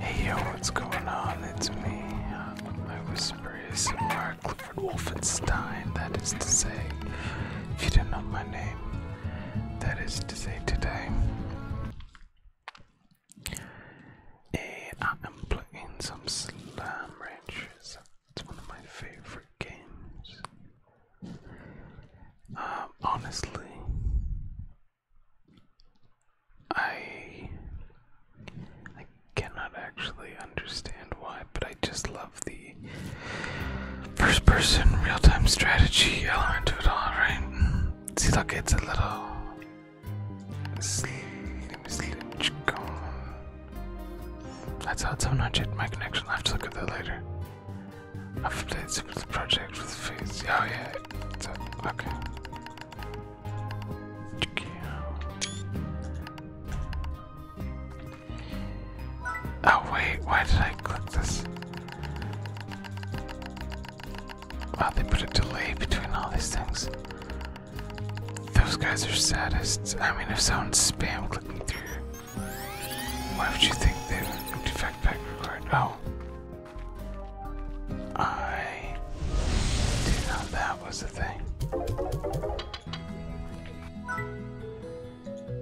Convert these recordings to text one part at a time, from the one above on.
Hey yo, what's going on? It's me. My whisper is Mark Clifford Wolfenstein. That is to say, if you do not know my name, that is to say today. I am playing some Slam Ranchers. It's one of my favorite games. Um, honestly, I I cannot actually understand why, but I just love the first person real time strategy element to it all, right? See look it's a little slim slim chicken. That's how it's unhinged my connection, I have to look at that later. I've played some project with face. Oh yeah, it's a, okay. Oh wait, why did I click this? Wow, they put a delay between all these things. Those guys are saddest. I mean, if someone's spam clicking through, why would you think they defect back Oh, I didn't know that was the thing.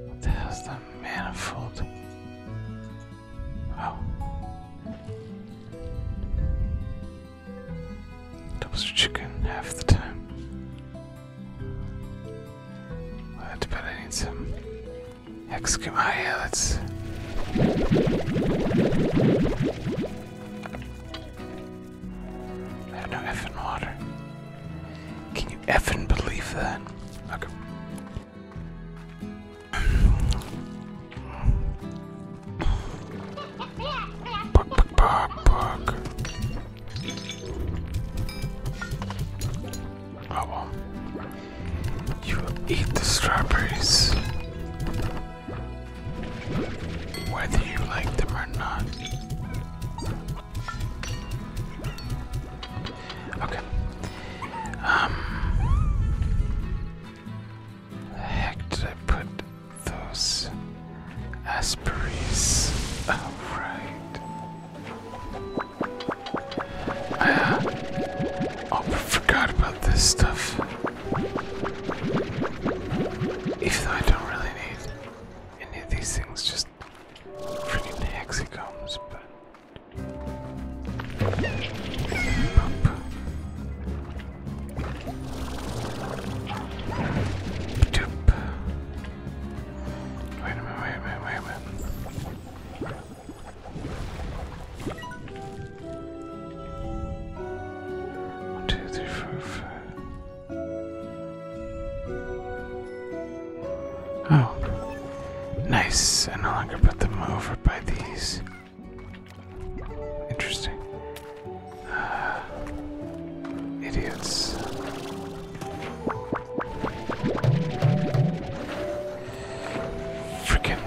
What the hell's the manifold? Oh. Doubles are chicken half the time. I bet I need some excavator. I have no effing water. Can you effing believe that? Okay. Buck, buck, buck, buck. Oh well. You will eat the strawberries whether you like them or not. Okay. Um. The heck did I put those Asperies? Oh, right. I uh, oh, forgot about this stuff. Even though I don't really need any of these things, just freaking hexacombs, but. Wait a minute, wait a minute, wait a minute. One, two, three, four, five. Oh, nice. I no longer put them over by these. Interesting. Uh, idiots. Freaking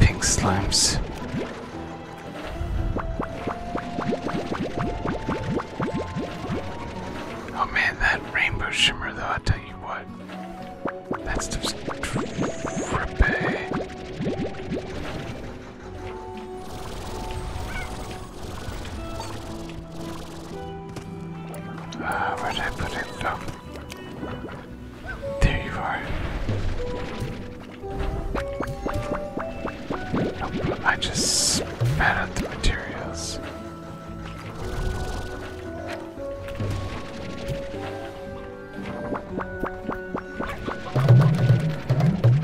pink slimes. Oh man, that rainbow shimmer though, i tell you what. That stuff's trippy. Uh, where did I put it? Um, there you are. I just spat out the materials.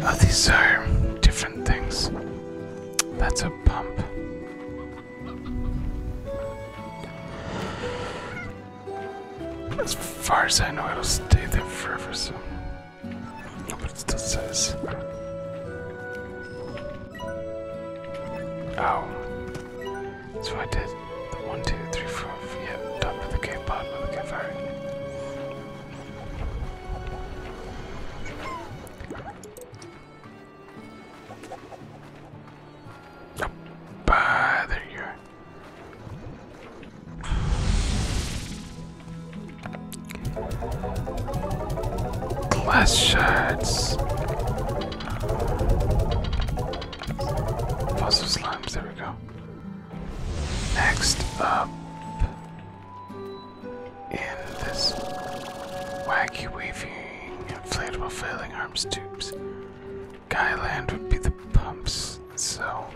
Oh, these are different things. That's a pump. As far as I know, it'll stay there forever, so. but it still says. Oh. So I did the 1, 2, 3, 4, yeah, top of the cave, bottom of the cave, alright. there you Glass shards. Fossil slimes, there we go. Next up in this wacky, waving, inflatable, failing arms tubes Guyland would be the pumps, so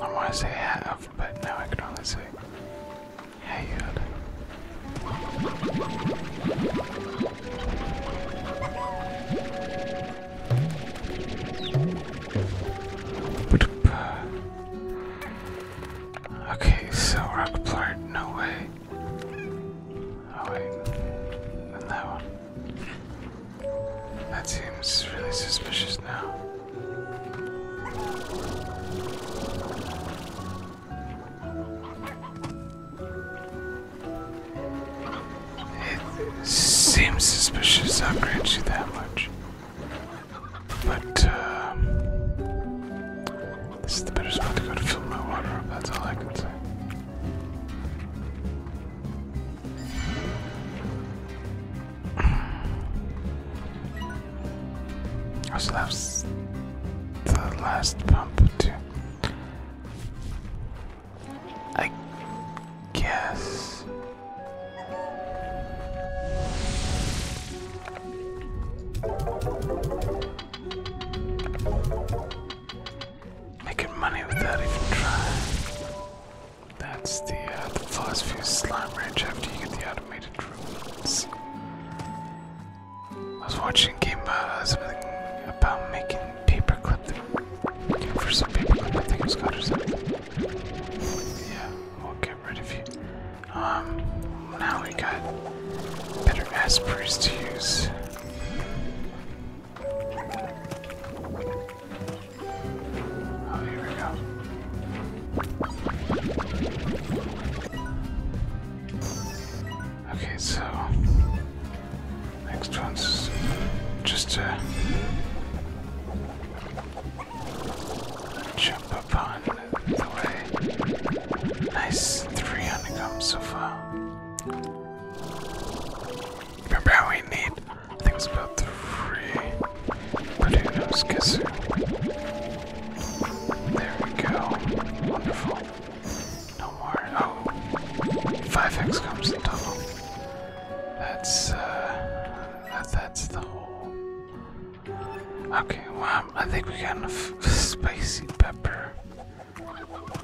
I want to say have, but now I can only say had. Okay, so rock no way. Oh wait, and that one. That seems really suspicious now. seems suspicious, I'll grant you that much. But, um, this is the best spot to go to fill my water up, that's all I can say. I still have the last pump too. I guess. Making money without even trying. That's the, uh, the first few slime range after you get the automated rules. I was watching game uh, something about making paperclip. Looking for some paperclip, I think it was called or Yeah, we'll get rid of you. Um, now we got better aspirates to use. Okay, so next one's just to jump upon the way. Nice three honeycombs so far. Remember how we need, I think it was about three potatoes, kisser. There we go. Wonderful. No more. Oh. 5x comes the double. That's, uh, that, that's the whole. Okay, well, um, I think we got enough spicy pepper.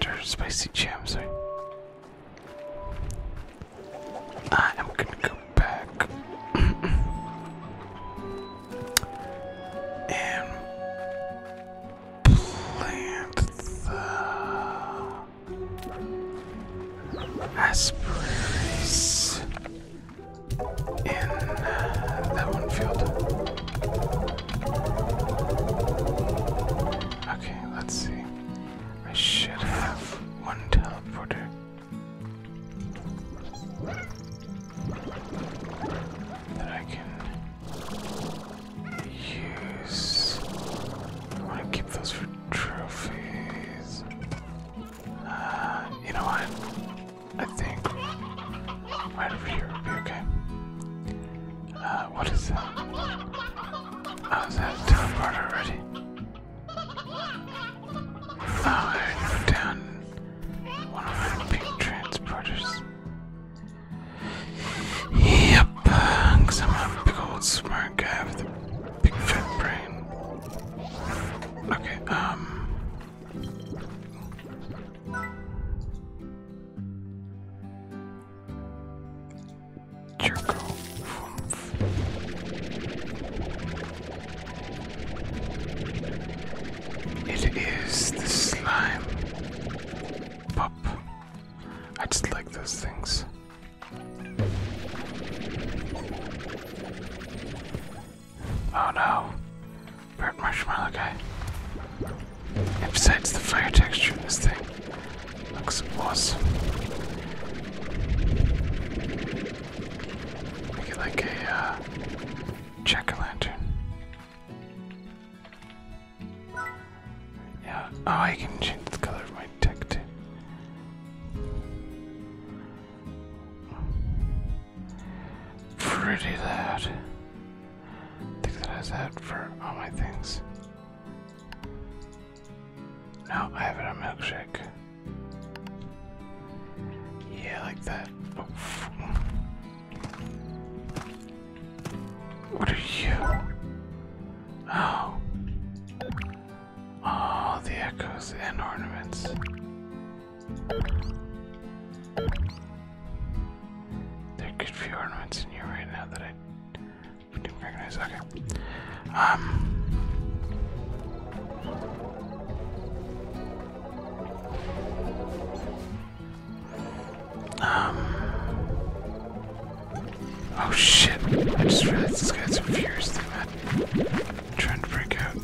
Or spicy jam, sorry. I am gonna go back and plant the asparagus in that one field. Okay, let's see. I should have one teleporter. That I can use. I want to keep those for trophies. Uh, you know what? I think right over here would be okay. Uh, what is that? Oh, I was that teleport already? I go down one of my big transporters. Yep, I'm a big old smart guy with a big fat brain. Okay, um, it is the slime pop. I just like those things. Oh no, burnt marshmallow guy. And besides the fire texture in this thing, Looks awesome. Make it like a uh, jack-o'-lantern. Yeah. Oh, I can change the color of my deck too. Pretty loud. think that has that for all my things. No, I have it on milkshake. Yeah, like that. What are you? Oh. All oh, the echoes and ornaments. There could be ornaments in here right now that I Okay. Um, um. Oh shit! I just realized this guy's furious at me. Trying to break out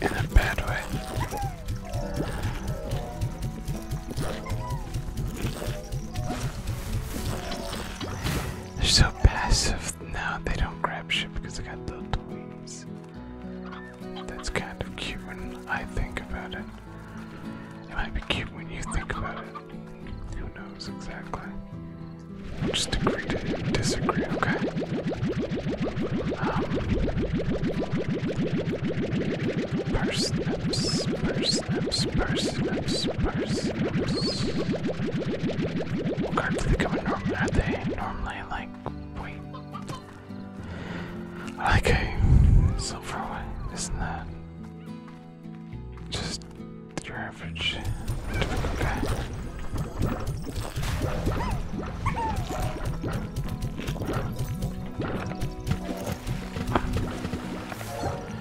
in a bad way. They're so passive now, they don't grab shit because they got little toys. That's kind of cute when I think about it. might be cute when you think about it. Who knows exactly? Just agree to okay? Um, purse, Cards they come in normally, are they normally like wait? Like a silver one, isn't that just your average typical guy?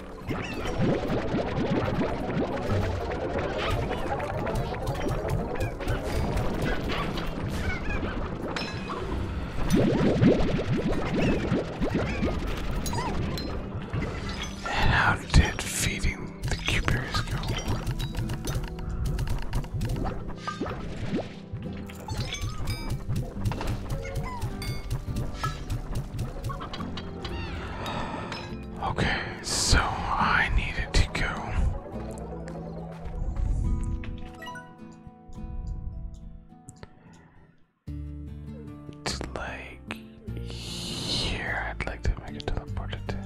And how did feeding the cubers go? Okay, so I needed to go. To like here, I'd like to make it teleported there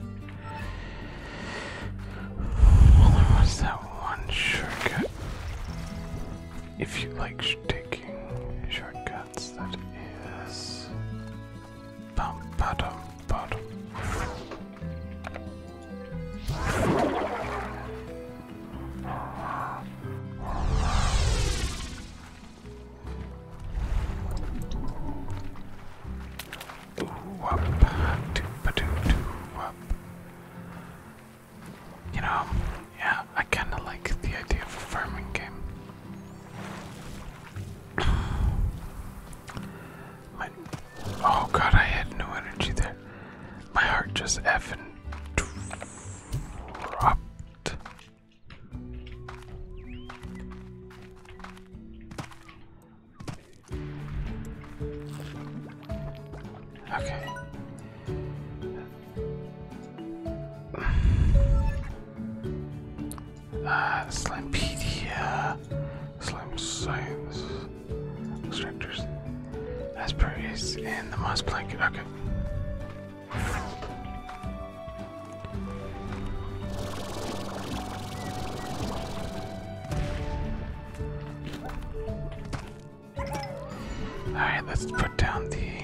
was that one shortcut. If you like taking shortcuts, that is Bum, ba -dum, ba You know, yeah, I kind of like the idea of a farming game. My, oh god, I had no energy there. My heart just effing dropped. Okay. Uh, Slimepedia, Slime Science, Extractors, Asperges, and the Moss Blanket. Okay. Alright, let's put down the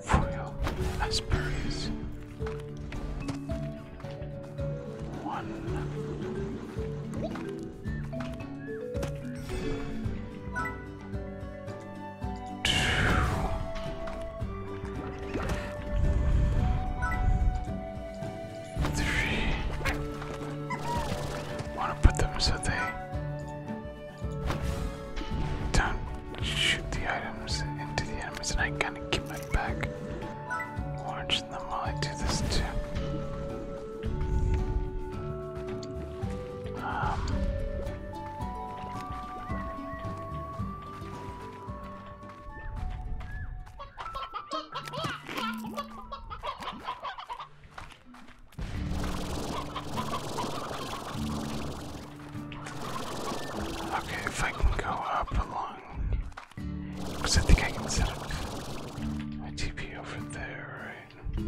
foil Asperges want to put them so they don't shoot the items into the enemies, and I kind of keep my back orange them while I do this too. Um, Okay, if I can go up along. I think I can set up my TP over there, right?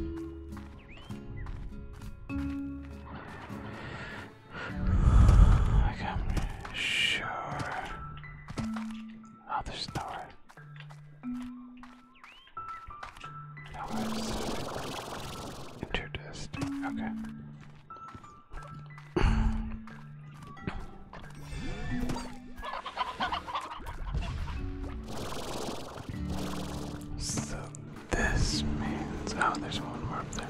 I'm sure. Oh, there's nowhere. Nowhere. Interdist. Okay. So this means oh there's one more up there.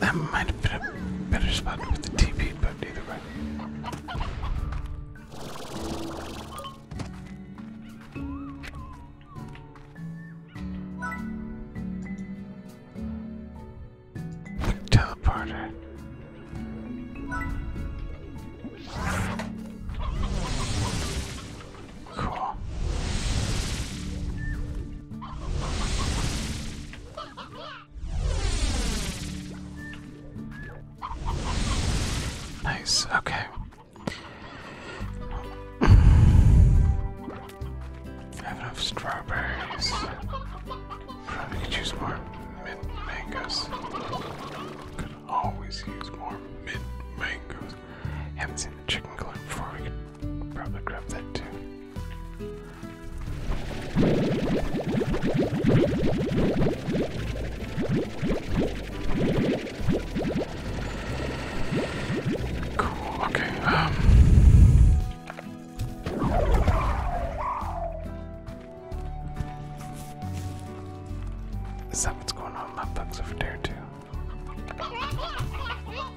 That might have been a better spot with the TP, but neither way. teleporter. Cool. Nice, okay. have enough strawberries. Probably could use more mint mangoes. Could always use more mint mangoes. Haven't seen the chicken going before Cool, okay, Is that what's going on? My bug's over there too.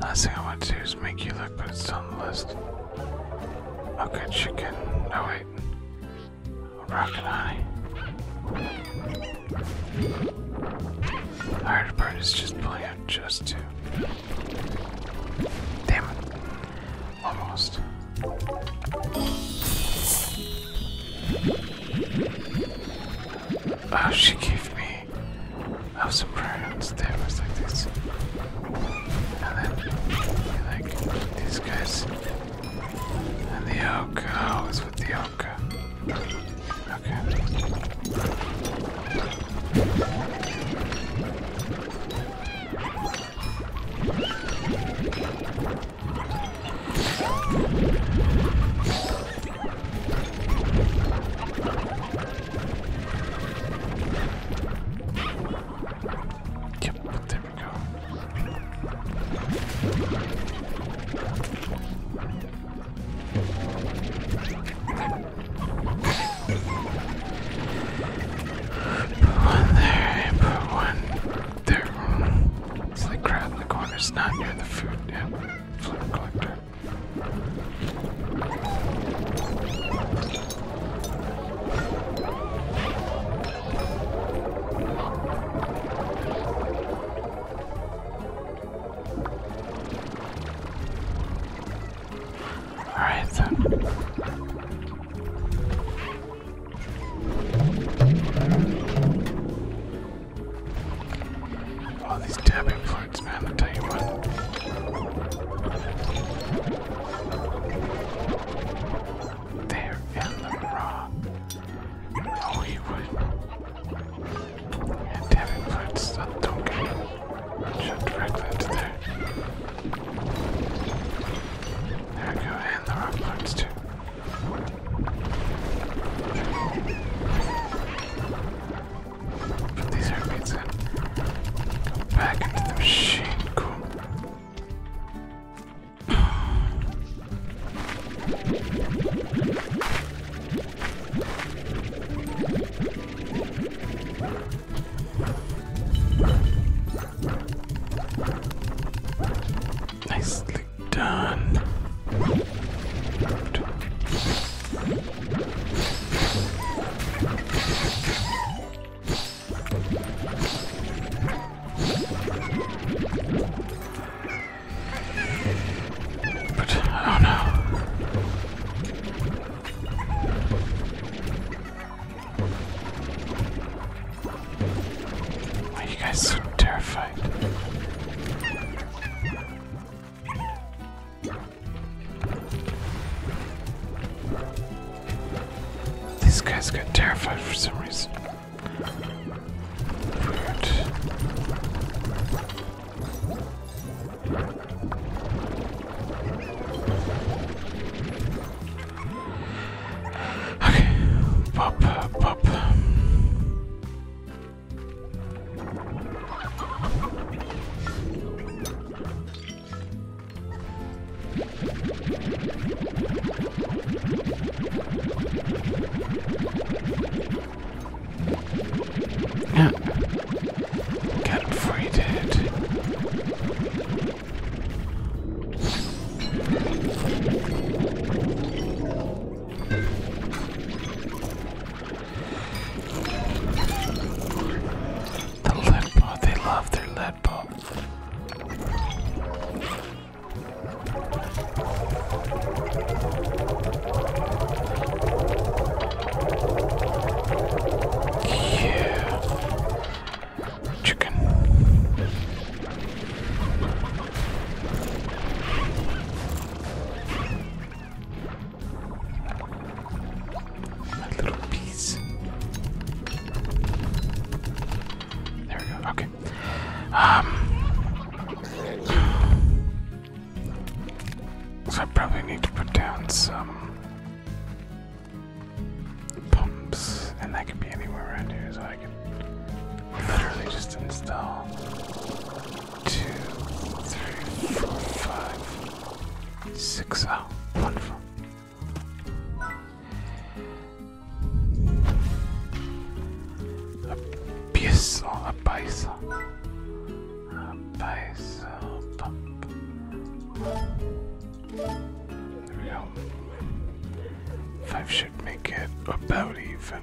Last thing I want to do is make you look, but it's on the list. Okay, chicken. No, wait. Rock and honey. The hard is just pulling just two. Damn it. Almost. Oh, she gave me me of some prions damage like this. And then like these guys. And the oak. Oh, it's with the oak. Okay. Yep, there we go. Put one there, and put one there. It's like crap in the corner, it's not near the food. Yeah, floor collector. Alright then. All oh, these tapping flutes, man, I'll tell you what. They're in the raw. Oh, he would. Yeah, tapping flutes, that don't get shut directly into there. There we go, and the rock flutes too. Put these airplanes in. Go back into the machine. Cool. Nicely done. Good. But oh no. Why are you guys so terrified? These guys got terrified for some reason. Okay, pop, pop. Yeah. Get him free, dude. The lead ball, they love their lead ball. Yeah. Chicken. That little piece. There we go. Okay. Um. So I probably need to put down some pumps, and that could be anywhere around here. So I can literally just install two, three, four, five, six. Oh, A piece a piece. A piece. Pump. There we go. Five should make it about even.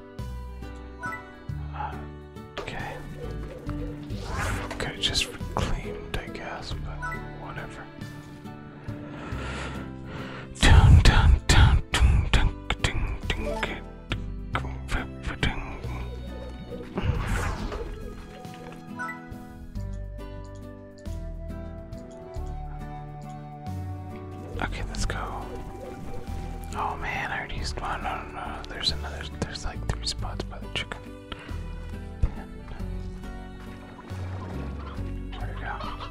Okay. Could have just reclaimed, I guess, but whatever. Okay, let's go. Oh man, I already used one. No, no, no. There's another. There's like three spots by the chicken. There we go.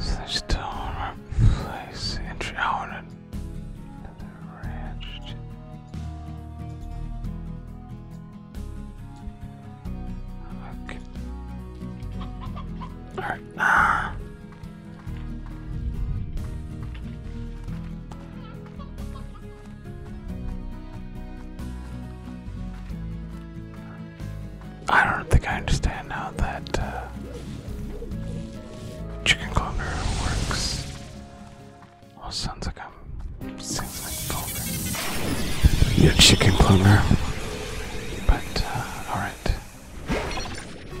Such a place entry out and the Alright. Ah. I don't think I understand how that uh, chicken cloner works. Well, sounds like I'm seems like Your chicken cloner. But uh, all right.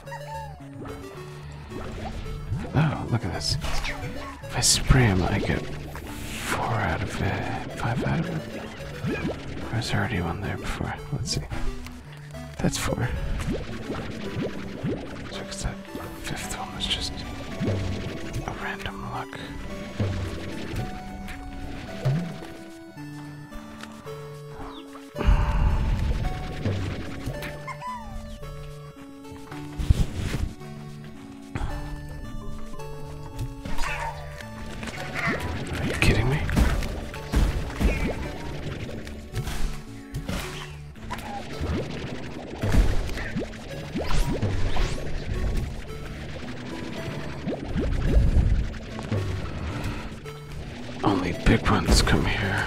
Oh, look at this. If I spray him, I get four out of it, uh, five out of it. There was already one there before. Let's see. That's four. So, cause that fifth one was just a random luck. Are you kidding me? Only big ones come here.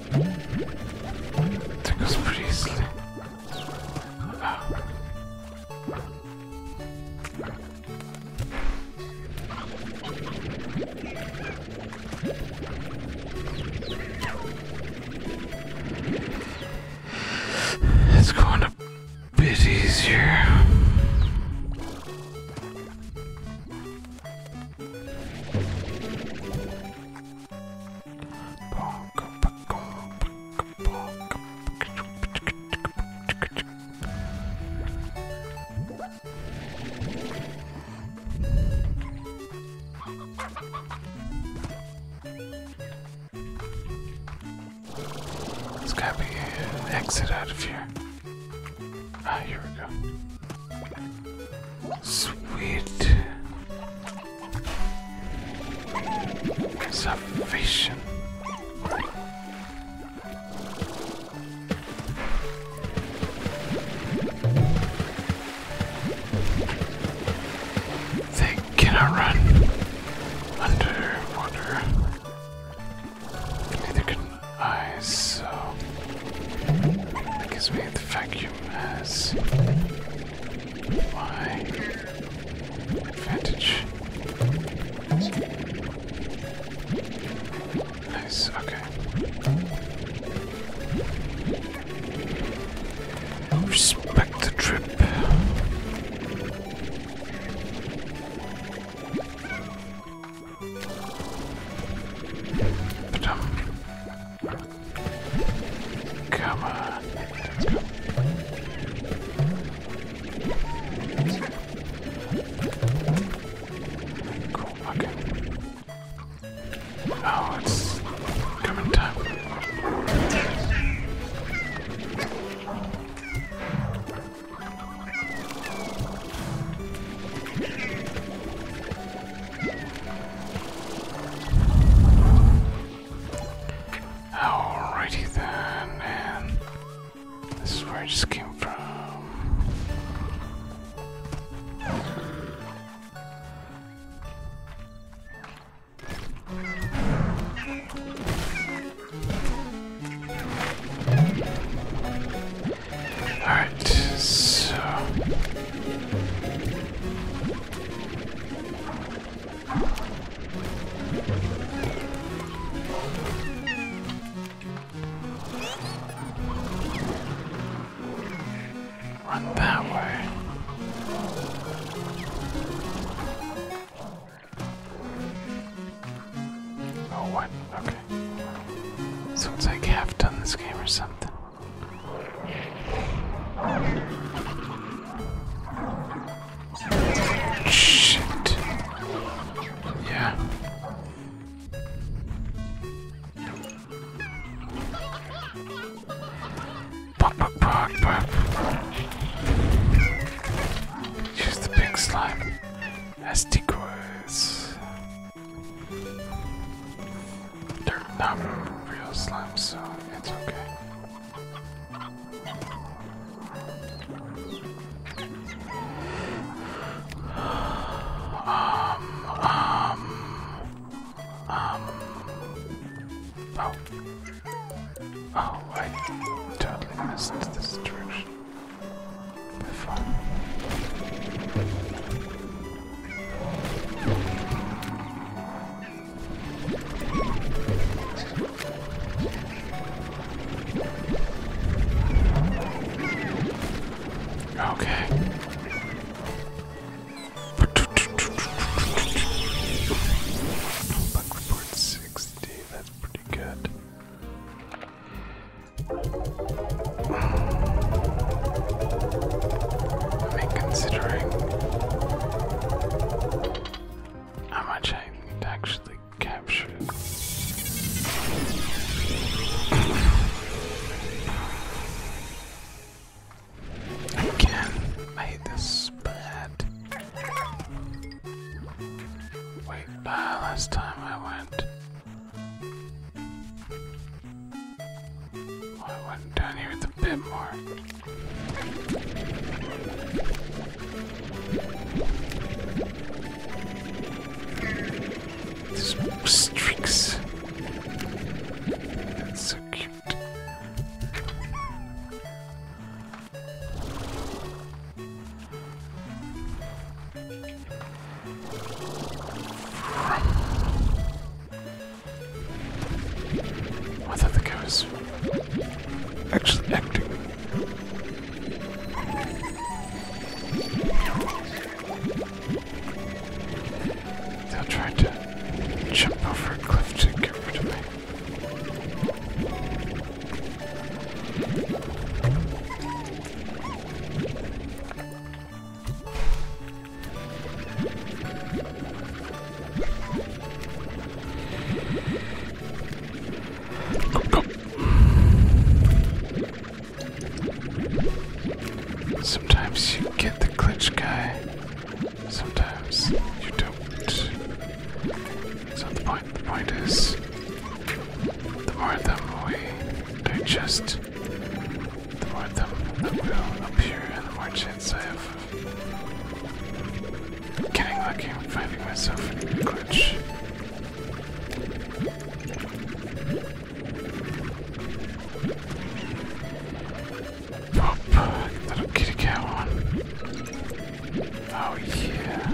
That goes pretty It's going a bit easier. There's gotta be an exit out of here. Ah, here we go. Sweet. Salvation. They cannot run underwater. Neither can I, so that gives me the vacuum as my advantage. Nice, okay. Respect the trip. But um, Come on. Let's go. Cool, okay. Oh, it's coming time. Alrighty then, this is where I just came from. Alright, so Run that way. Oh, what? Okay. So like half done this game or something. Shit. Yeah. Pop, pop, pop, pop. Use the pink slime as decoys. They're not real slimes, so it's okay. Um, um, um, oh, oh, I totally missed this direction before. Okay. Bug report 60, that's pretty good. I mean, considering how much I need actually capture Again, I hate this bad. Wait, uh, last time I went. I went down here a bit more. Strix. That's so cute. I thought the guy was actually acting. They'll try to jump over a cliff to get rid of me. Go, go. Sometimes you get the glitch guy, sometimes you don't. It's not the point. The point is, the more of them we digest, the more of them that will appear, and the more chance I have Getting lucky, I'm finding myself in a glitch. Oh, little kitty cat one. Oh yeah.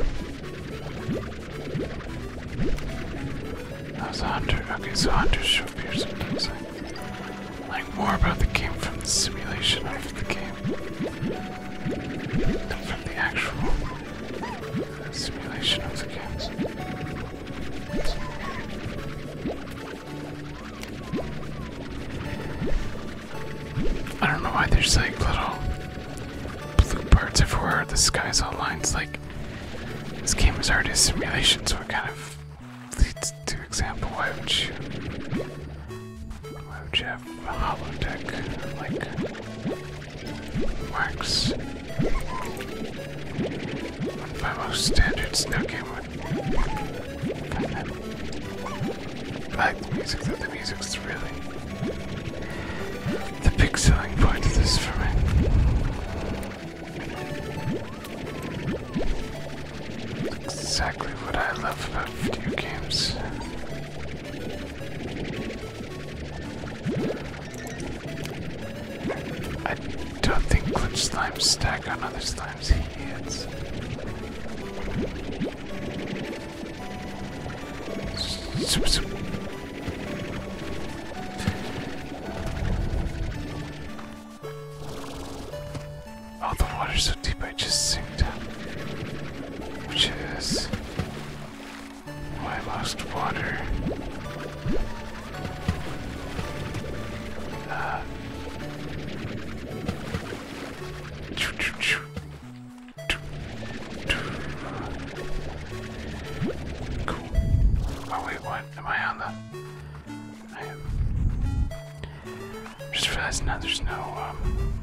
That was a hunter. Okay, so hunters show up here sometimes like more about the game from the simulation of the game than from the actual simulation of the game. I don't know why there's like little blue parts everywhere. The sky's all lines. Like this game is already a simulation, so it kind of leads to example, why would you why would you have a holodeck like wax? By most standard no game would like the music the music's really the big part of this for me exactly what I love about video games. I don't think glitch slimes stack on other slimes' heads. Oh, the water's so deep I just sank up. Which is I lost water. Uh, choo -choo -choo. Cool. Oh wait, what? Am I on the? Just realized now there's no, um,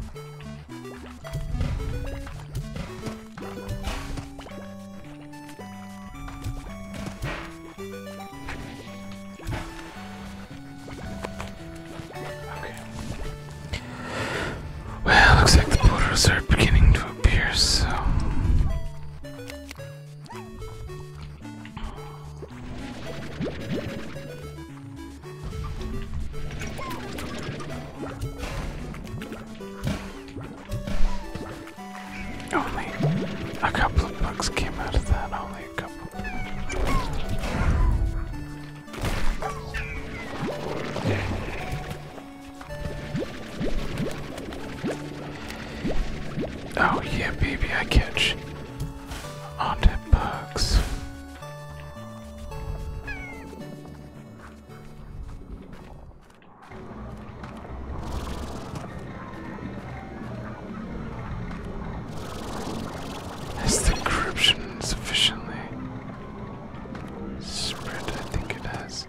Okay. Well, looks like the portals are beginning to appear, so... Only a couple of bucks came out of that, only a couple. Oh yeah, baby, I catch on bugs. Has the corruption sufficiently spread? I think it has.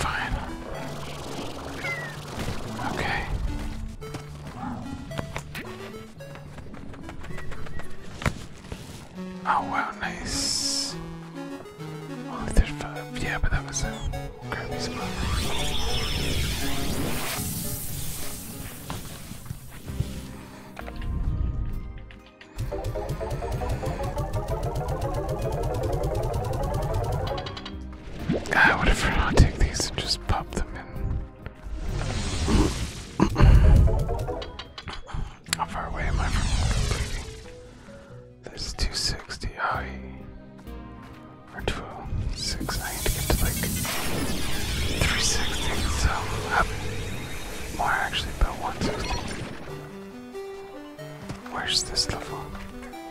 Fine. Okay. Oh wow, nice. Only oh, there's Yeah, but that was a crappy spot. I would have will take these and just pop them in. How far away am I from completing? There's 260. I or 12, 6. I need to get to like 360. So up more actually, about 160. Where's this level?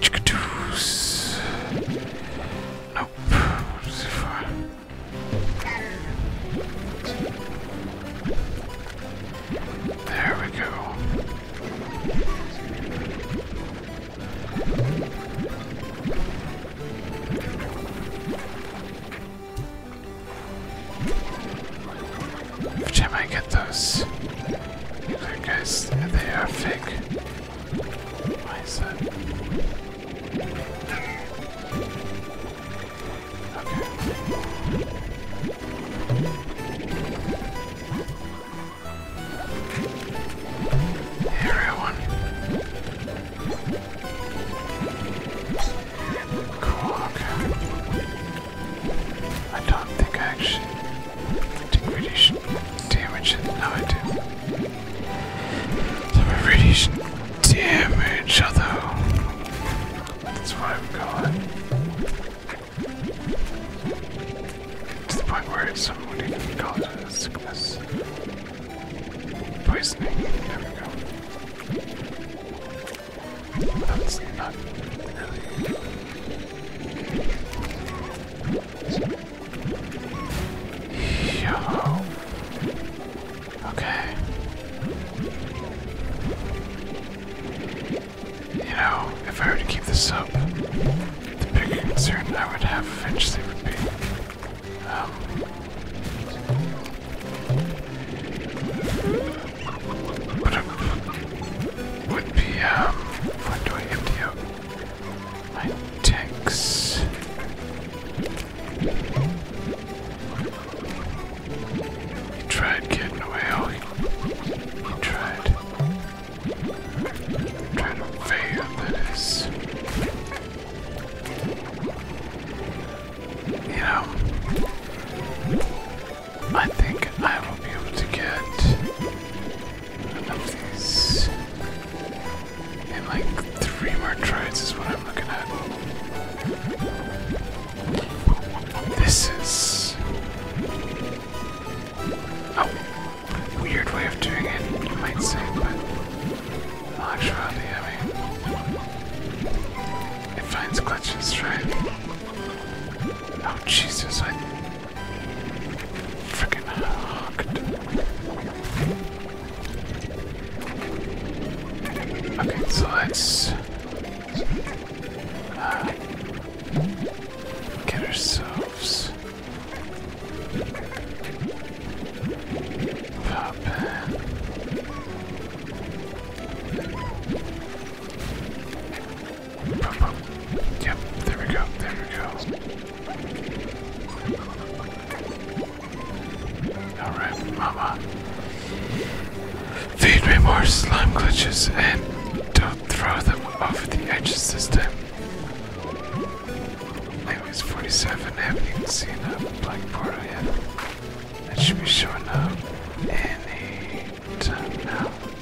Chickadees. Nope. There we go. Which time I get those? I guess they are fake. Why is that? Okay. Here I don't think actually Take radiation damage. No, I do. The damage, although that's why I'm gone. To the point where it's some would even sickness. Poisoning. There we That's not really Yo. Okay. You know, if I were to keep this up, the bigger concern I would have eventually would be, um, would be um, when do I empty out? My tanks. He tried getting away. Oh, he, he tried. to fail this. You know, I think I will be able to get Yes. And like three more tries is what I'm looking at. This is a weird way of doing it, you might say, but in I mean, it finds glitches, right? Oh Jesus, Freaking hooked. Okay, so let's uh, get ourselves pop. Yep, there we go, there we go. Alright, mama. Feed me more slime glitches and don't throw them off the edge this time. was 47, haven't even seen a black portal yet. That should be showing up any now. I am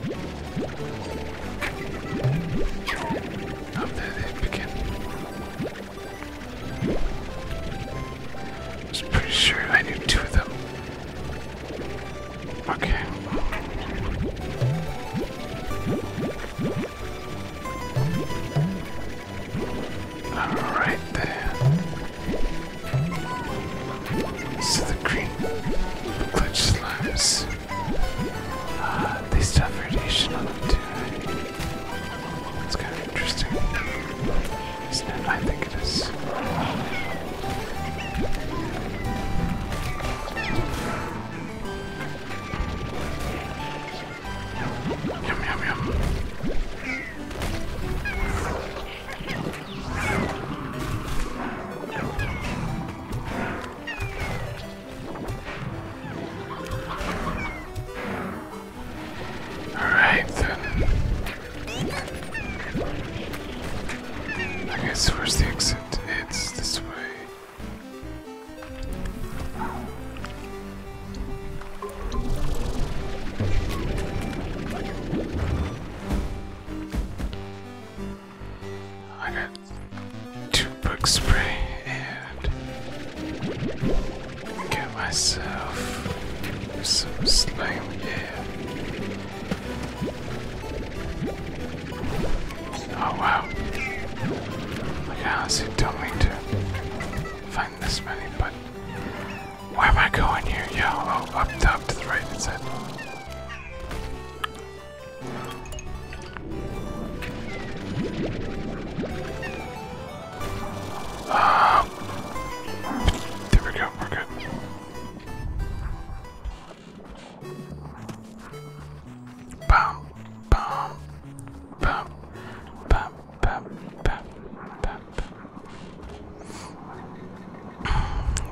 pretty sure I knew two of them. Okay. Alright then. So the green glitch slimes. Uh, they suffered It's kind of interesting, isn't it? I think it is. Yum yum yum. Alright I guess where's the exit? It's this way. I got two bug spray and get myself some slime. Yeah. Oh wow! Like I honestly don't mean to find this many, but why am I going here? Yo, oh, up, up to the right. It said there we go, we're good. Bam, bam, bam, bam, bam, bam, bam,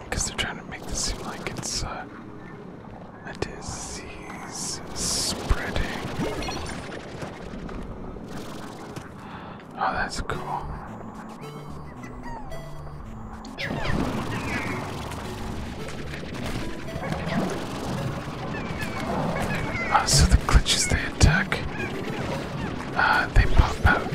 Because they're trying to make this seem like it's uh, a disease spreading. Oh, that's cool. Uh, so the glitches they attack, uh, they pop out.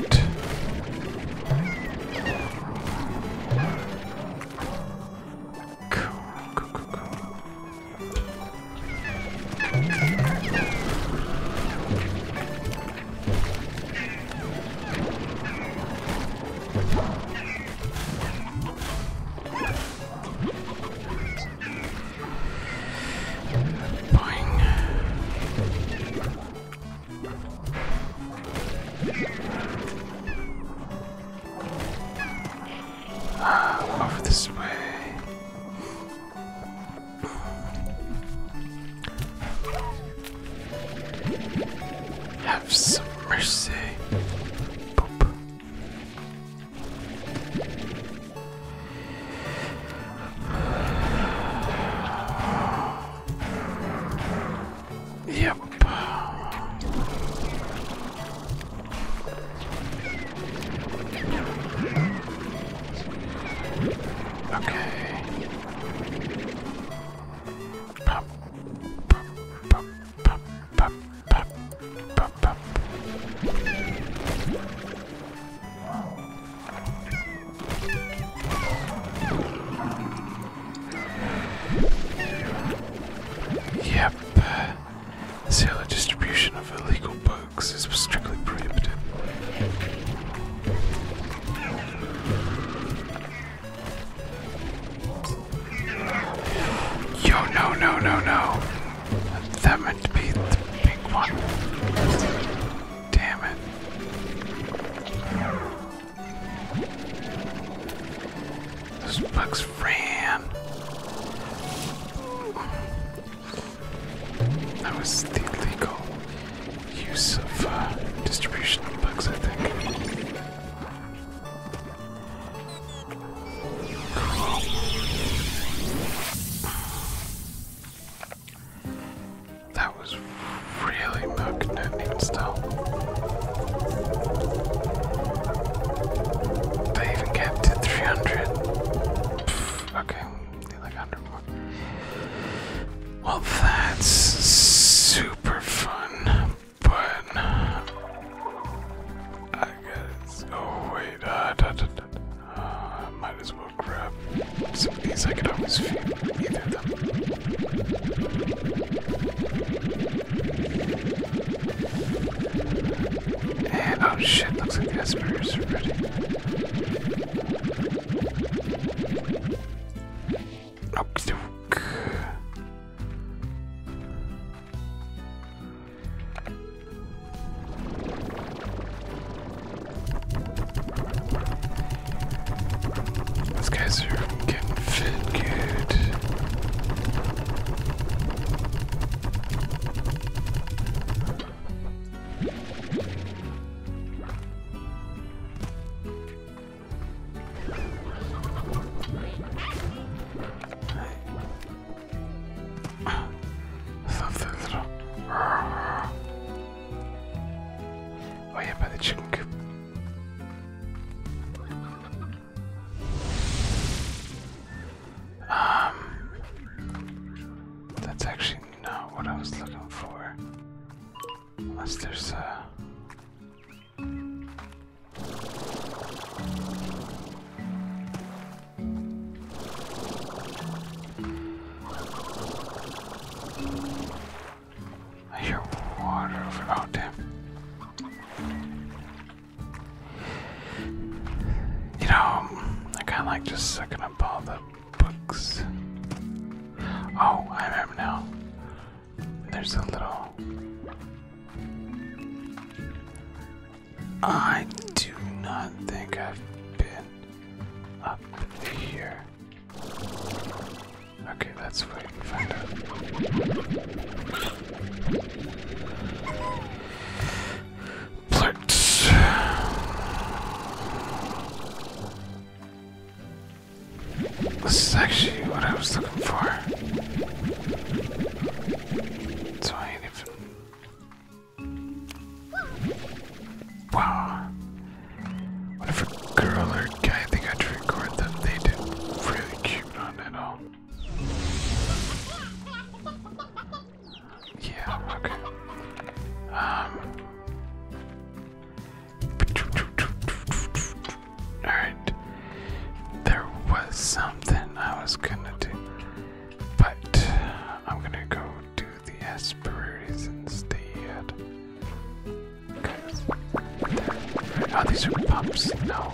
Cool, cool, cool, cool. Boing. Over this way. Have some mercy. Yep. Okay. Pop, pop, pop, pop, pop, pop, pop, pop. Yep. The sale and distribution of illegal books is strictly prohibited. Yo, no, no, no, no. That meant to be the big one. Damn it. Those bugs that was the legal use of uh, bugs, I think. Cool. That was really mug-nutting still. They even get to 300. Pff, okay, we like 100 more. Well, that's super fun, but I guess. Oh, wait. I uh, uh, might as well grab some of these. I can always feed either them oh shit, looks like the Asperger's are ready. Okie These guys are getting fit Something's wrong. Oh yeah, by the chicken coop. Um, that's actually not what I was looking for. Unless there's a. I hear water over. Oh, you know, I kind of like just sucking up all the books. Oh, I remember now. There's a little. I do not think I've been up here. Okay, let's wait and find out. Plurts. This is actually what I was looking for. So I ain't even. Wow. Whatever girl or guy they got to record them, they did really cute on it all. Yeah, okay. Um, alright. There was something I was gonna do, but I'm gonna go do the aspiraries instead. Cause oh, these are pumps. No.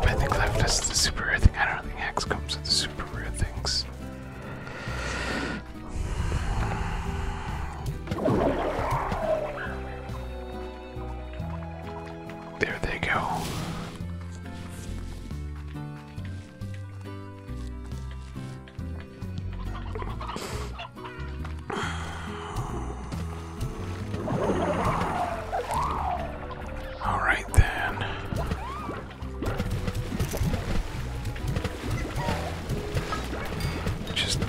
I think left is the super rare thing. I don't think X comes with the super rare things. There they go. All right, then. Just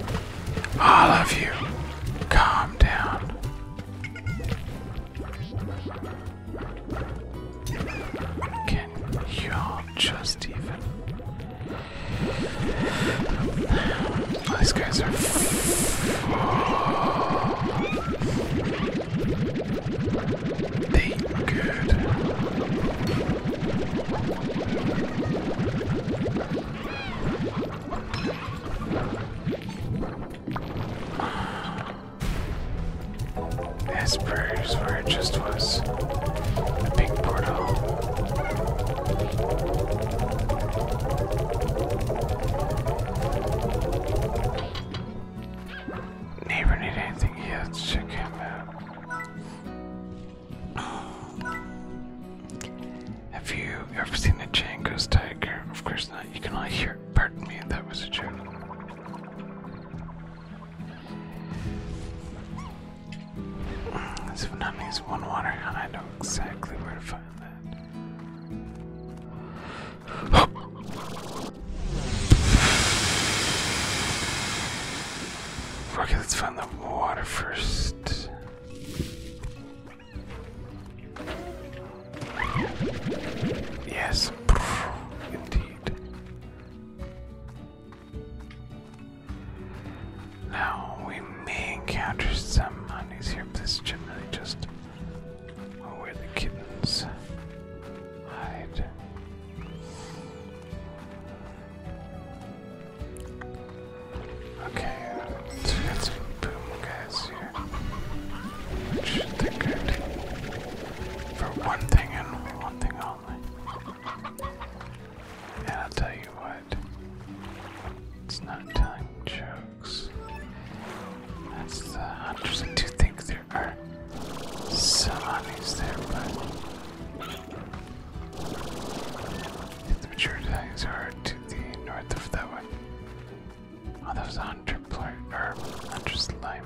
all of you, calm down. Can you all just even? These guys are. They are good. This where it just was a big portal. Never need anything? Yeah, let's check out. Have you ever seen a Django's tiger? Of course not. You can only hear it. Pardon me, that was a joke. So that means one water, and I know exactly where to find. Okay, let's find the water first. Yes, indeed. Now we may encounter some monies here, but this generally just Oh, where the kittens hide. Okay, so we got some boom guys here. Which they're for one thing and one thing only. And I'll tell you what, it's not telling jokes. That's the hunters. I do think there are some honeys there, but the mature honeys are to the north of that one. Oh, that was a hunter plate or hunter slime.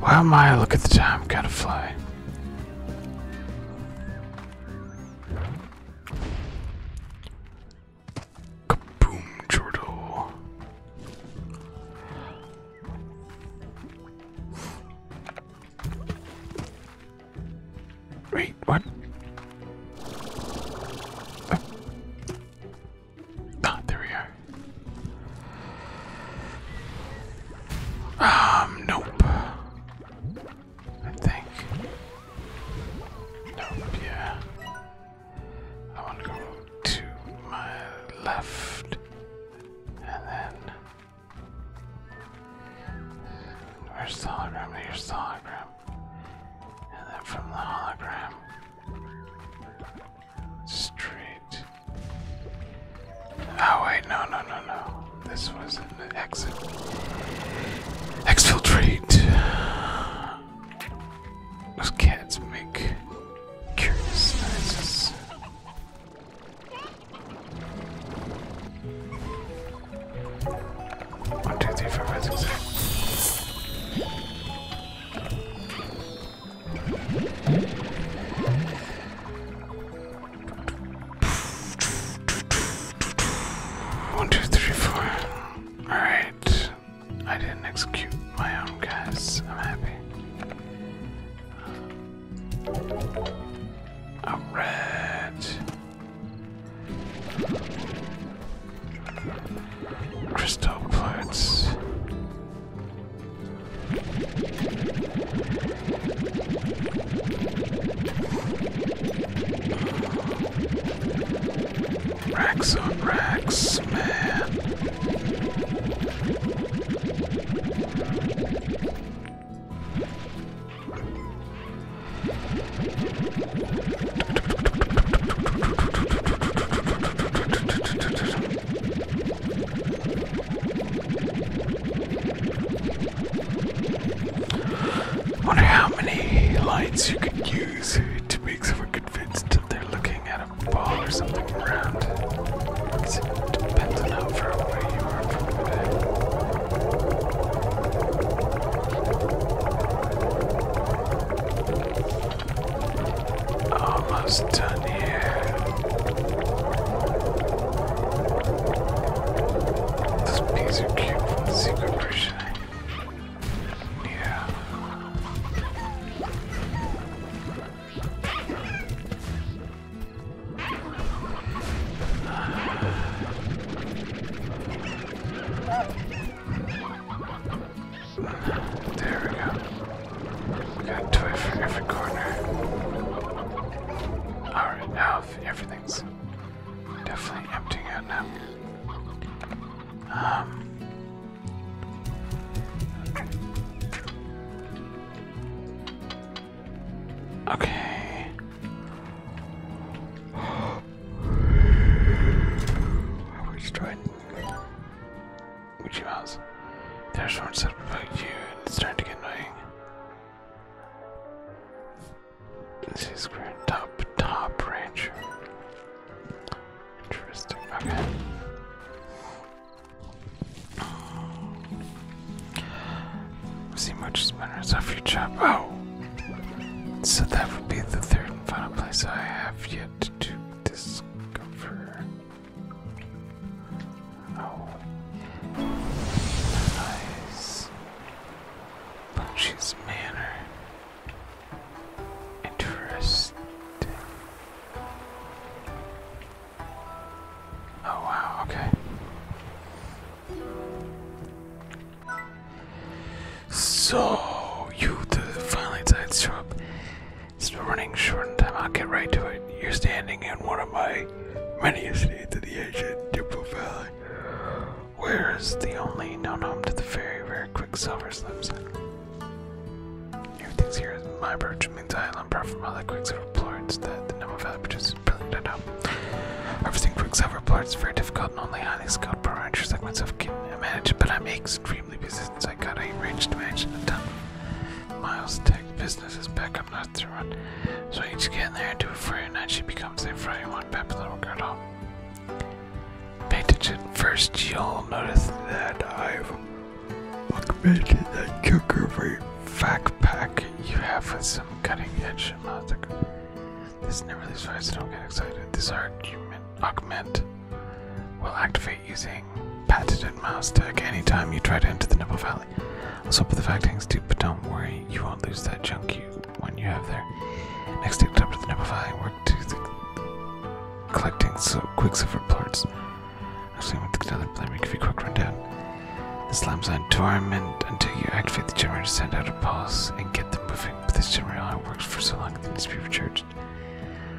Why Maya. Look at the time, gotta fly. Kaboom, Jordo. Wait, what? Ah, ah, there we are. Um, nope. I think. Nope, yeah. I want to go to my left and then. Where's hologram? Here's hologram. And then from the hologram, straight. Oh, wait, no, no, no, no. This was exit. Exfiltrate. Those cats make curious noises. One, two, three, four, five, six, seven. One, two, three, four. Alright. I didn't execute my own guys. I'm happy. Alright. Crystal parts. Racks on racks, man. Wonder how many lines you could use to make someone convinced that they're looking at a ball or something around. it depends on how far away you are from the bed. Almost done here. Those bees are cute secret version. There we go. We got a toy for every corner. Alright, now everything things. Definitely emptying out now. Um, okay. I was trying. Would you There's one set about you, it's starting to get annoying. This is grand top top rancher. Interesting. Okay. Um, see much spinners off your job. Oh, so that would be the third final place I have yet to discover. Oh, nice. Manor. Interesting. Oh wow, okay. So you the finally side shop. It's been running short on time, I'll get right to it. You're standing in one of my many estates of the ancient Diplo Valley. Where is the only known home to the very rare Quicksilver lives Everything's here my approach means I am apart Quicksilver plorts that the Nemo Valley produces brilliant at home. Harvesting Quicksilver plorts very difficult and only highly skilled pro-rancher like can manage, but I'm extremely busy since I got a range to in a ton. Miles tech business is back up north to run, so I get in there and do it and I should become safe for anyone popular work at Pay attention. First, y'all notice that I've augmented that cucumber fact pack you have with some cutting edge magic. This never leaves fire, so don't get excited. This argument augment will activate using patented mouse tech anytime you try to enter the Nipple Valley. i Also, put the fact hangs too, but don't worry, you won't lose that junk you one you have there. Next, take up to the Nebifying work to the collecting so quicksilver parts. Actually, with another blame, give you a quick rundown. The slams on torment until you activate the generator, to send out a pulse, and get them moving. But this generator only works for so long it needs to be recharged.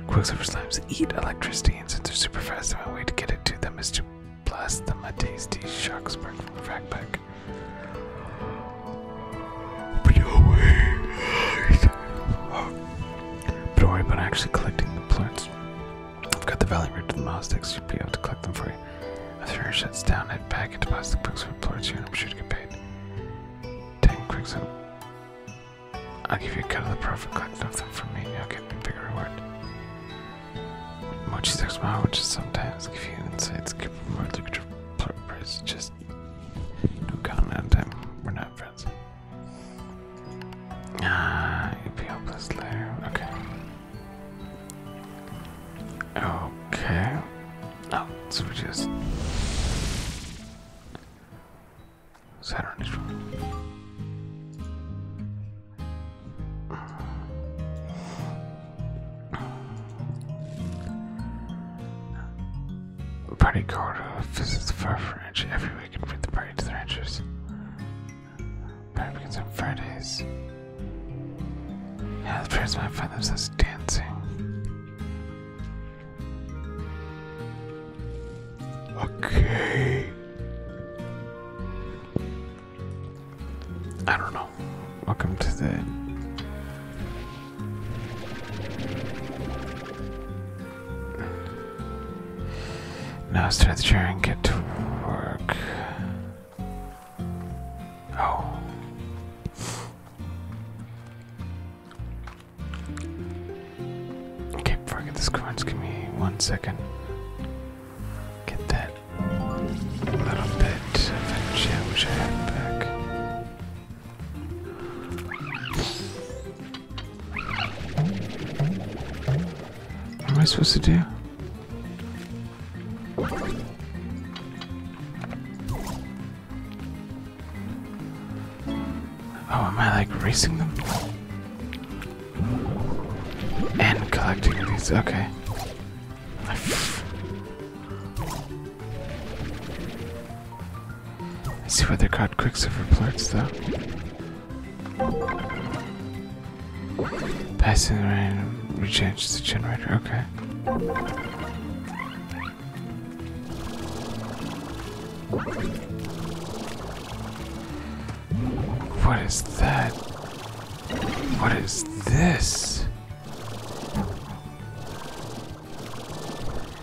Quicksilver slimes eat electricity, and since they're super fast, the only way to get it to them is to blast them a tasty shock spark from the backpack. But worry about actually collecting the plants. I've got the valley route to the Mazdex, you would be able to collect them for you. After air shuts down, head back and deposit the Quicksilver plants here, and I'm sure to get paid. Ten Quicksilver. I'll give you a cut of the profit Collect off from me, and you'll get a bigger reward. Mochi Six Mile, which is sometimes give you insights, give more lucrative price, just just no comment on We're not friends. Ah, EPL plus layer. Okay. Okay. Oh, so just. Saturn is the party corridor uh, visits the far ranch every week and brings the party to the ranchers. Party begins on Fridays. Yeah, the parents might find themselves dancing. Okay. I don't know. Welcome to the now let's try the chair and get to work. Oh. Okay, before I get give me one second. Get that little bit of a back. What am I supposed to do? Oh, am I like racing them? And collecting these, okay. I see why they're called quicksilver plurts, though. Passing around recharges the generator. Okay. What is that? What is this?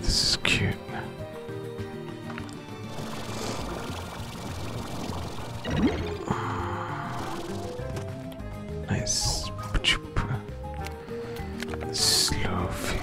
This is cute. Nice. Slow field.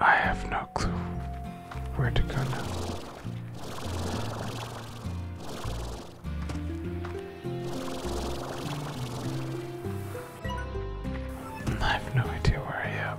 I have no clue where to go now. I have no idea where I am.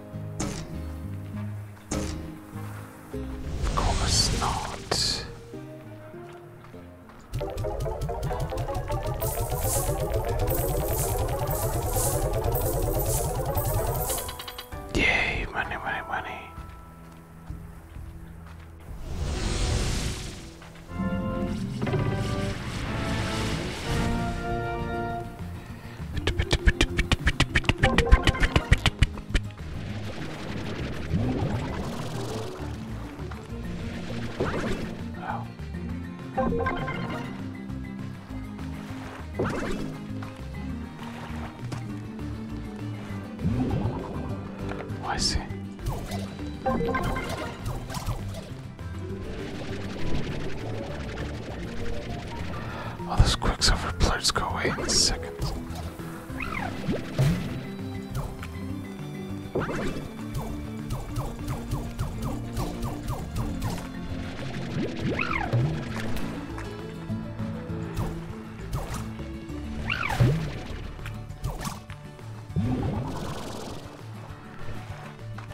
Of course not. Yay, money, money, money. Oh. oh, I see. All oh, those Quicksilver blurs go away in seconds.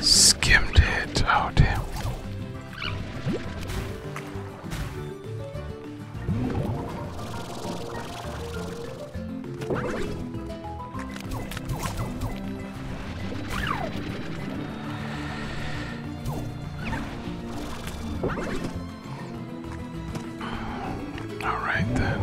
Skimmed it. Oh, damn. All right then.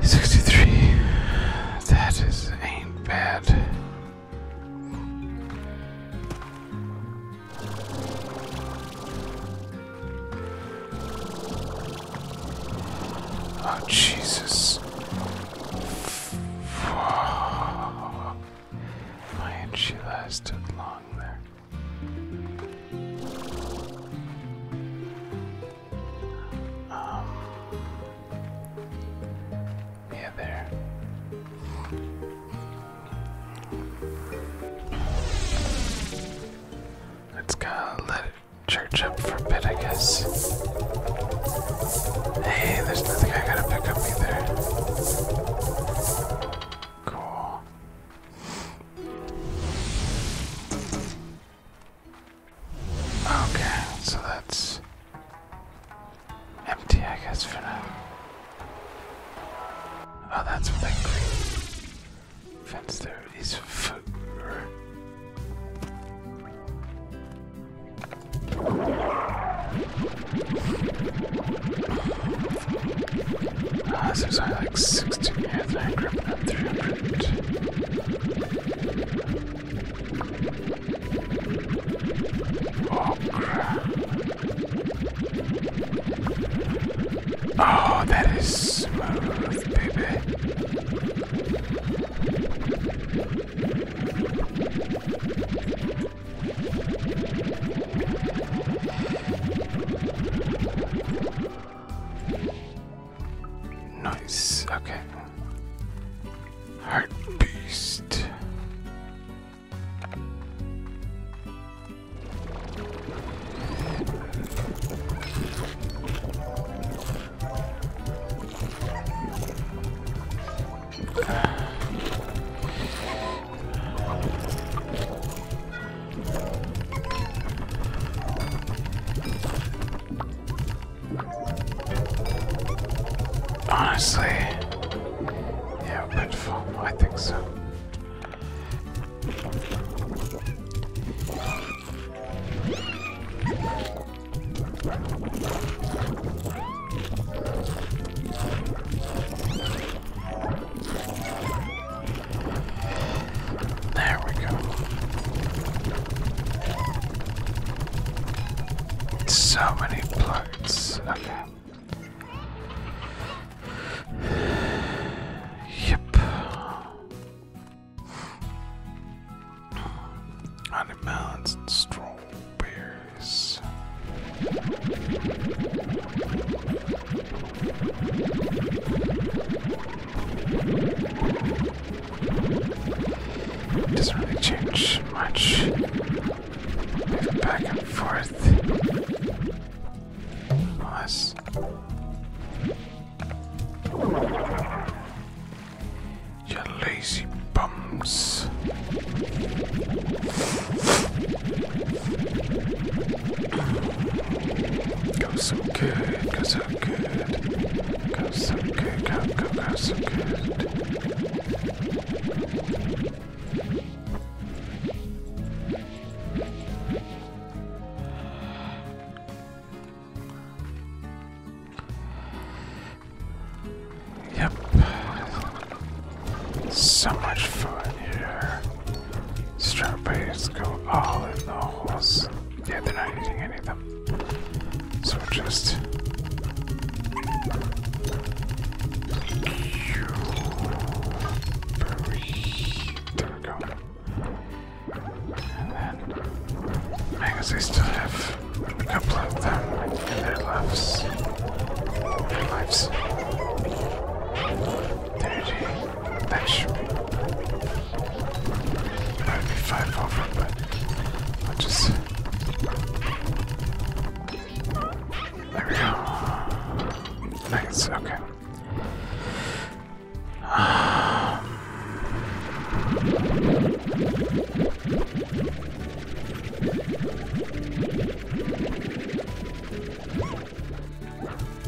Sixty-three. That is ain't bad. Oh Jesus. Why ain't she lasted long there? Um, yeah, there. Let's kind let church up for a bit, I guess. Hey, there's nothing I gotta pick up either. Cool. Okay, so that's empty, I guess, for now. Oh, that's what fence there is for. Uh, so sorry, like 60 headline grip and 300. Oh, crap. Oh, that is smooth, baby. Nice, okay. Heart Honestly, yeah, Redfall, I think so. There we go. So many plugs. Okay. Yep. Animals and strawberries. Doesn't change much. back and forth. Unless. You lazy bums. Cause I good, go so good, go so good, go, go, go so good. Yep. So much fun here. Strawberries go all in the holes. Yeah, they're not eating any of them. So just. There we go. And then. I guess I still have a couple of them in their lives. Their lives. There That should I'd be five over, but I just. There we go. Nice, okay.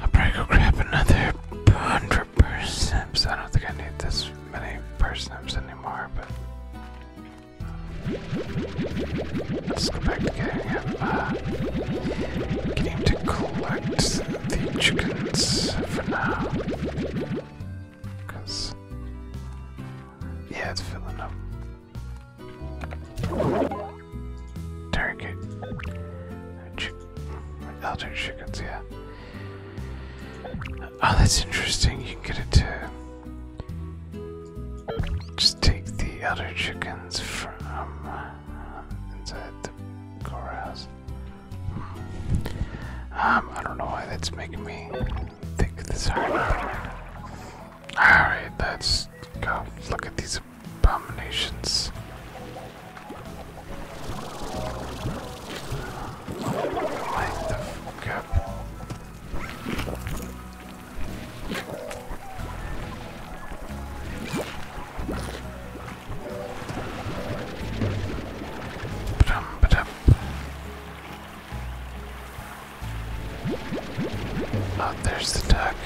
I'll probably go grab another hundred persims. I don't think I need this many persims anymore, but uh, let's go back to get him, uh, him to collect the chickens for now. Because, yeah, it's filling up. Target. elder chickens, yeah. Oh, that's interesting. You can get it to just take the elder chickens from uh, inside the courthouse. Um, I don't know why that's making me think this hard. Alright, let's go. Look at these abominations. Light the fuck up. Ba-dum, oh, there's the duck.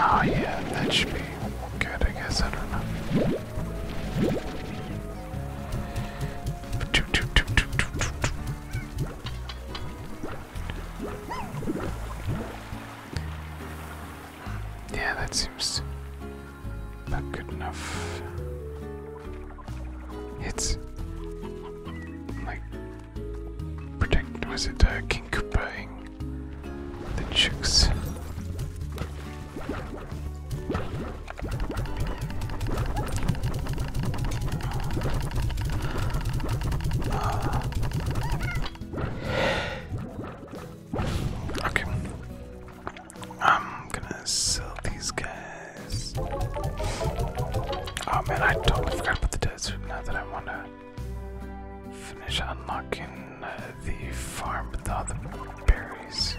Oh yeah, that should be good, I guess, I don't know. Yeah, that seems not good enough. It's like protect was it uh, the chicks. okay, I'm gonna sell these guys. Oh man, I totally forgot about the desert. Now that I wanna finish unlocking the farm with all the berries.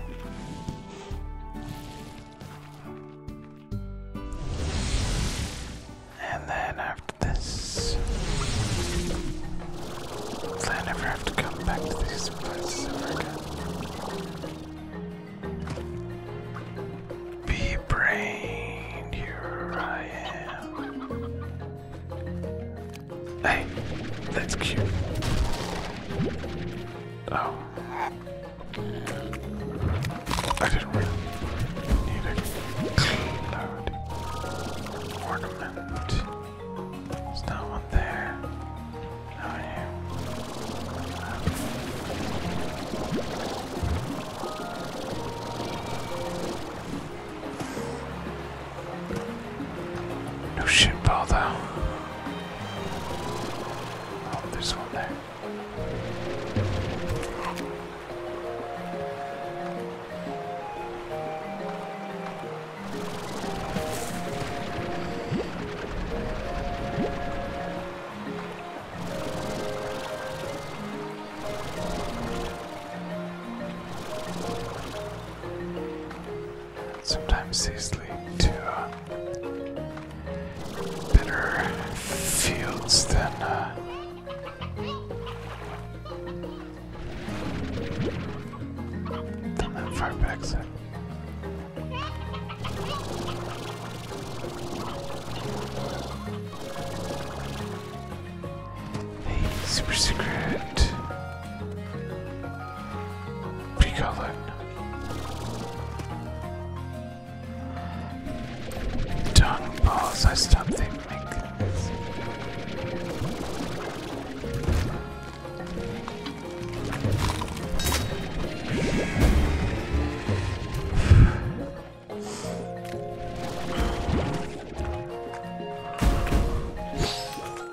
And then after this, I never have to come back to these places Be brained, here I am. Hey, that's cute. Oh. I didn't really need a ornament. There's no one there. How oh, are no shit bar though. Oh, there's one there. Sometimes these lead to uh, better fields than uh, than that far back Hey, super secret. Picolin. Dung balls, I stopped they make this. There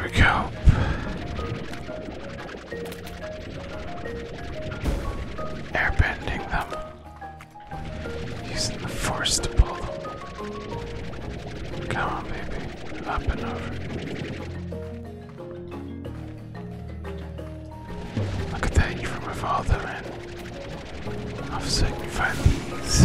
we go. Airbending them. Using the force to pull them. Come on, baby. Up and over. I could take you from my father, man. I've signified these.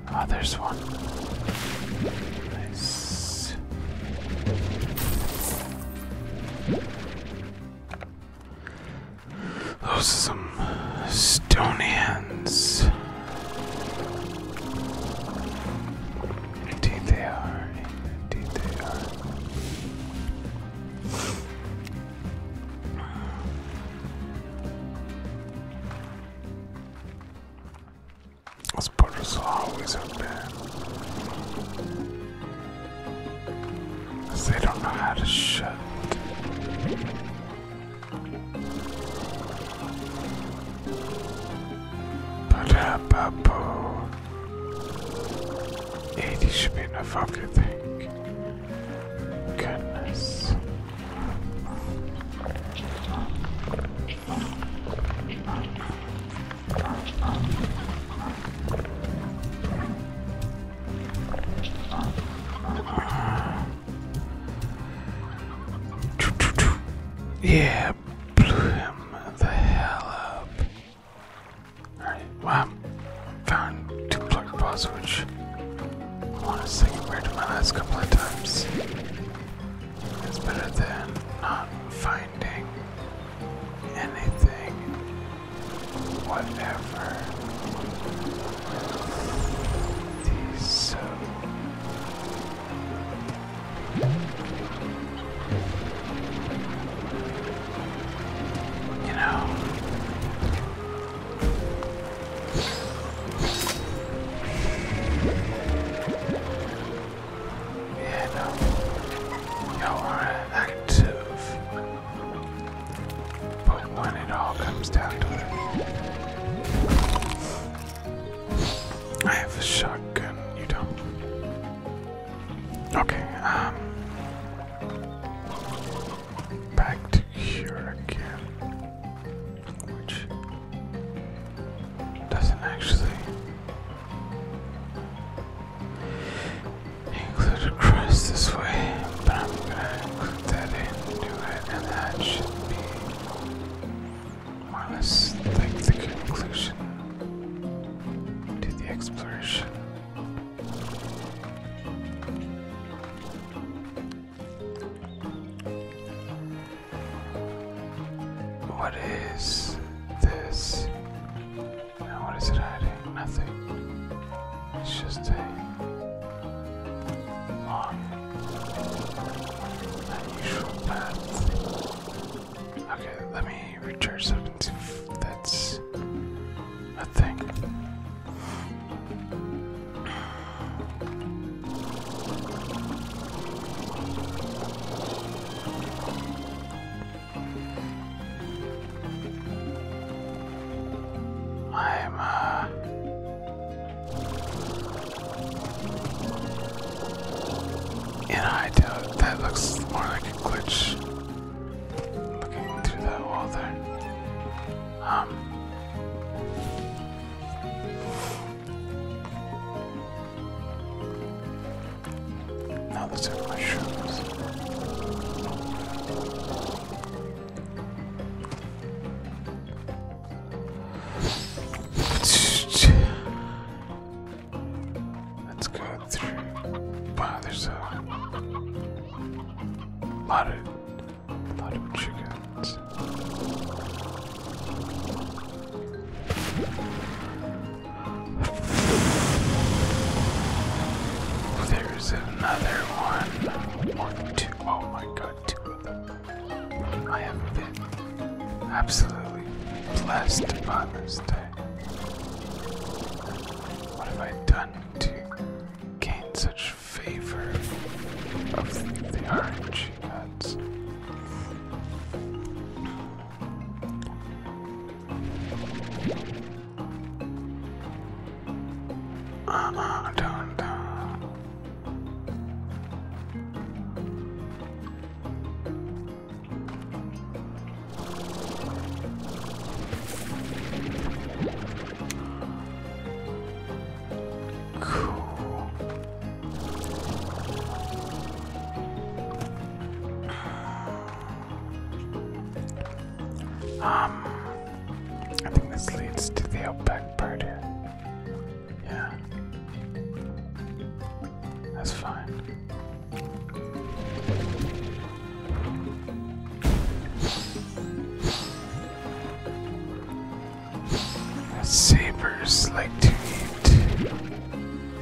Ah, there's one. Those are some stone hands. Indeed they are. Indeed they are. Those are always have been. They don't know how to shut. ba da ba should be enough, okay, thank goodness. Yeah, blew him the hell up. Alright, well, found two plug balls, which I want to honestly compared to my last couple of times it's better than not finding anything, whatever. These uh, You know. Yeah, no. Y'all are active. But when it all comes down to it, I have a shotgun, you don't. Okay, um, Back to here again which doesn't actually include a cross this way, but I'm gonna include that into it, and that should be more or less like the conclusion to the exploration. What is this? what is it hiding? Nothing. It's just a long, unusual path. Okay, let me recharge that and that's a thing. I'm uh, in high doubt that looks more like a glitch. Looking through that wall there. Um, now let's have my shoes. Let's go through. Wow, there's a lot of, lot of chickens. There's another one. Or two. Oh my god, two of them. I have been absolutely blessed by this day. What have I done to gain such favor of the orange? hands. Uh, uh, dun, Cool. Um, I think this leads to the outback part Yeah. That's fine. Sabers like to eat.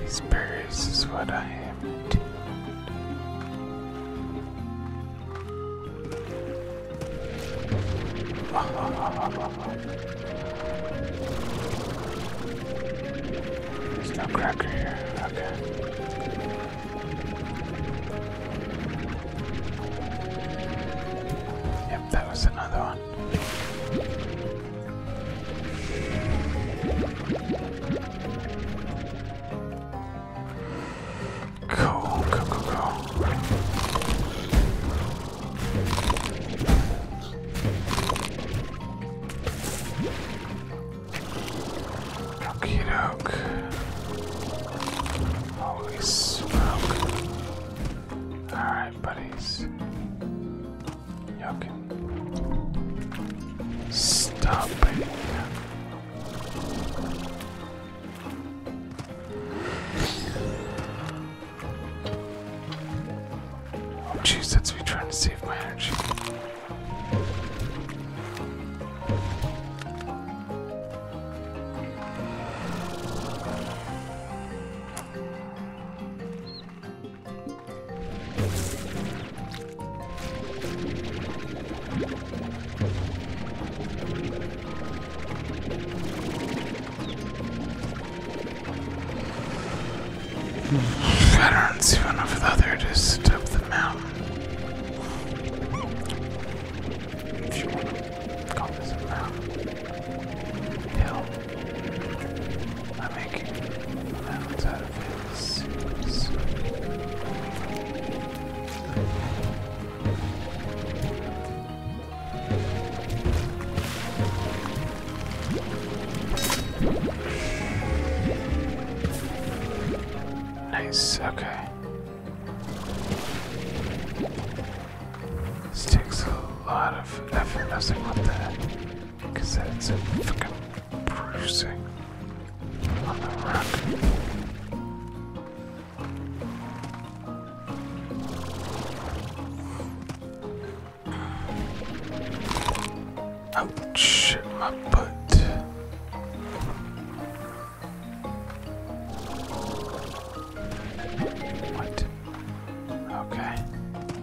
These berries is what I am into. There's no cracker here. Okay. Yep, that was another one that. Cool, cool, cool, cool. Okie Holy smoke. Alright, buddies. Stop it. Geez, oh, that's me trying to save my energy. Veterans, even if the other just step the mountain. Hell, I'm making mountains out of hills. Nice, okay. This takes a lot of effort, Nothing like, that. Because that's a fucking bruising on the rock. Oh shit, my butt. What? Okay.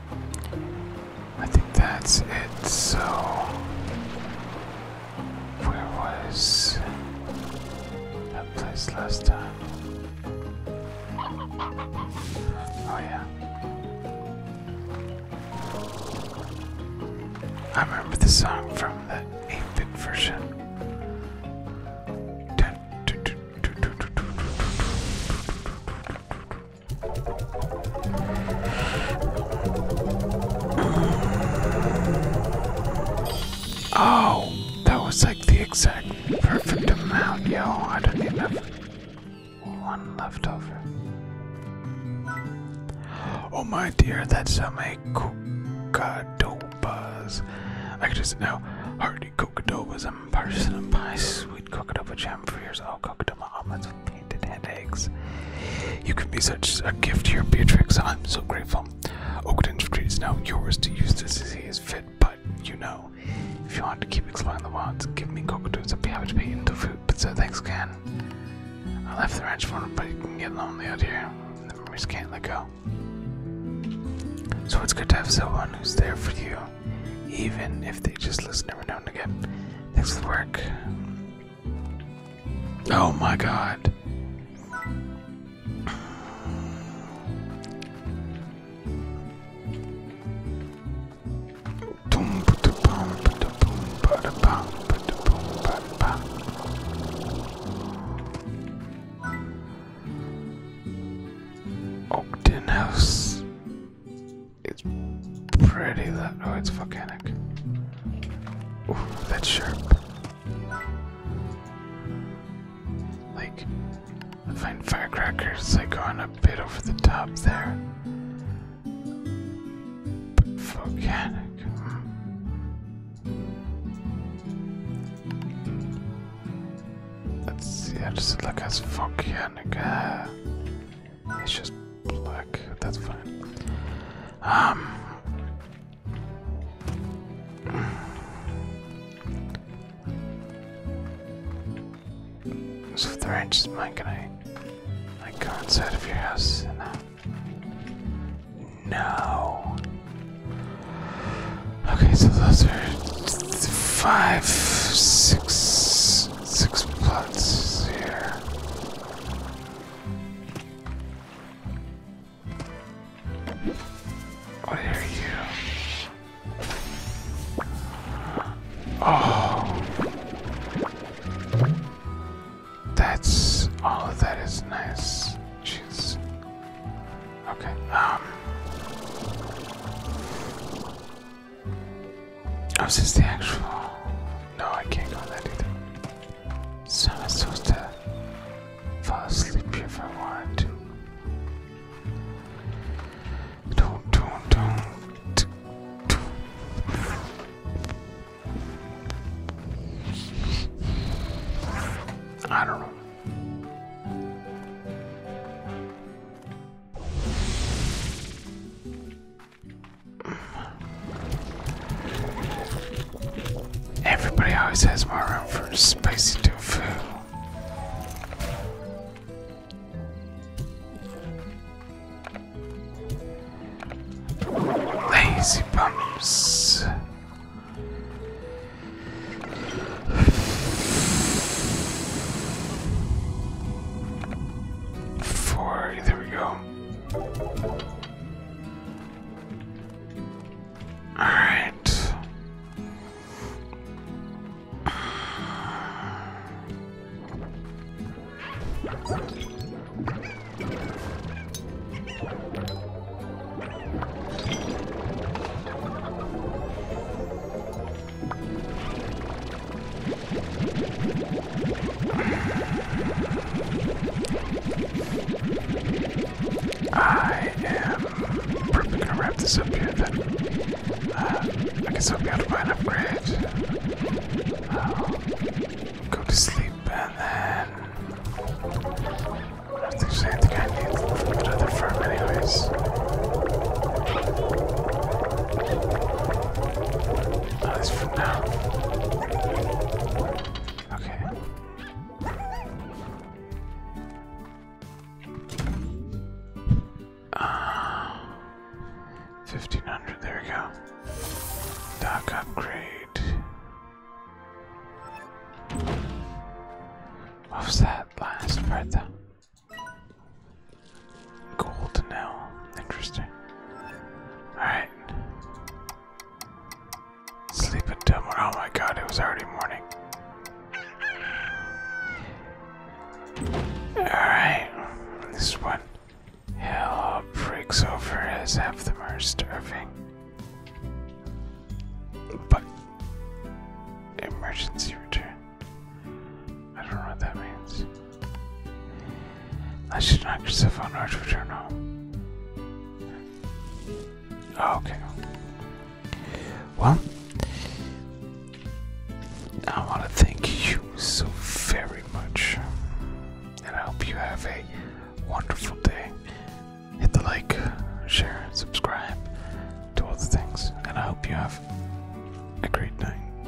I think that's it. So, where was that place last time? Oh, yeah. I remember the song from the 8 bit version. Oh, that was like the exact perfect amount, yo. I don't even have one left over. Oh my dear, that's a make cocadobas. I could just now hardy cocadobas ham, partisan and pie, sweet coconut with jam for yours. Oh, coconut omelets with painted eggs. You can be such a gift to your Beatrix. I'm so grateful. Oakton Street is now yours to use this as he is fit, but you know, if you want to keep exploring the wilds, give me coconuts. I'd be happy to into food, but so thanks again. I left the ranch for him, but you can get lonely out here. The memories can't let go. So it's good to have someone who's there for you even if they just listen every now and again. Thanks the work. Oh my god. Ogden House. It's pretty That Oh, it's volcanic. that's sharp. Like, find firecrackers, like, going a bit over the top there. volcanic. Hmm. Let's see, I just look as volcanic. Ah. It's just black. That's fine. Um. So if they're inches mine, can I like go inside of your house and uh, No. Okay, so those are five, six Six plots here. What are you? Oh, that's all oh, of that is nice. Jeez. Okay. Um. Oh, is this the actual? No, I can't go that either. So I'm supposed to fall asleep if I want to. Don't, don't, don't. I don't know. Everybody always has more room for spicy tofu. Lazy bumps. Four, there we go. Alright. I am probably gonna wrap this up here then. Uh, I guess I'll be able to buy an upgrade. go to sleep and then. I don't think there's anything I need from another farm, anyways. At for now. Okay. Uh, ah. 1500, there we go. Dock upgrade. What was that last part though? Cool to Interesting. Alright. Sleep until morning. Oh my god, it was already morning. Alright. This one. Hell breaks over as half them are starving. But. Emergency return. I don't know what that means. Unless you knock yourself on Earth, return home. Oh, okay. Well, I want to thank you so very much. And I hope you have a wonderful day. Hit the like, share, subscribe, do all the things. And I hope you have a great night.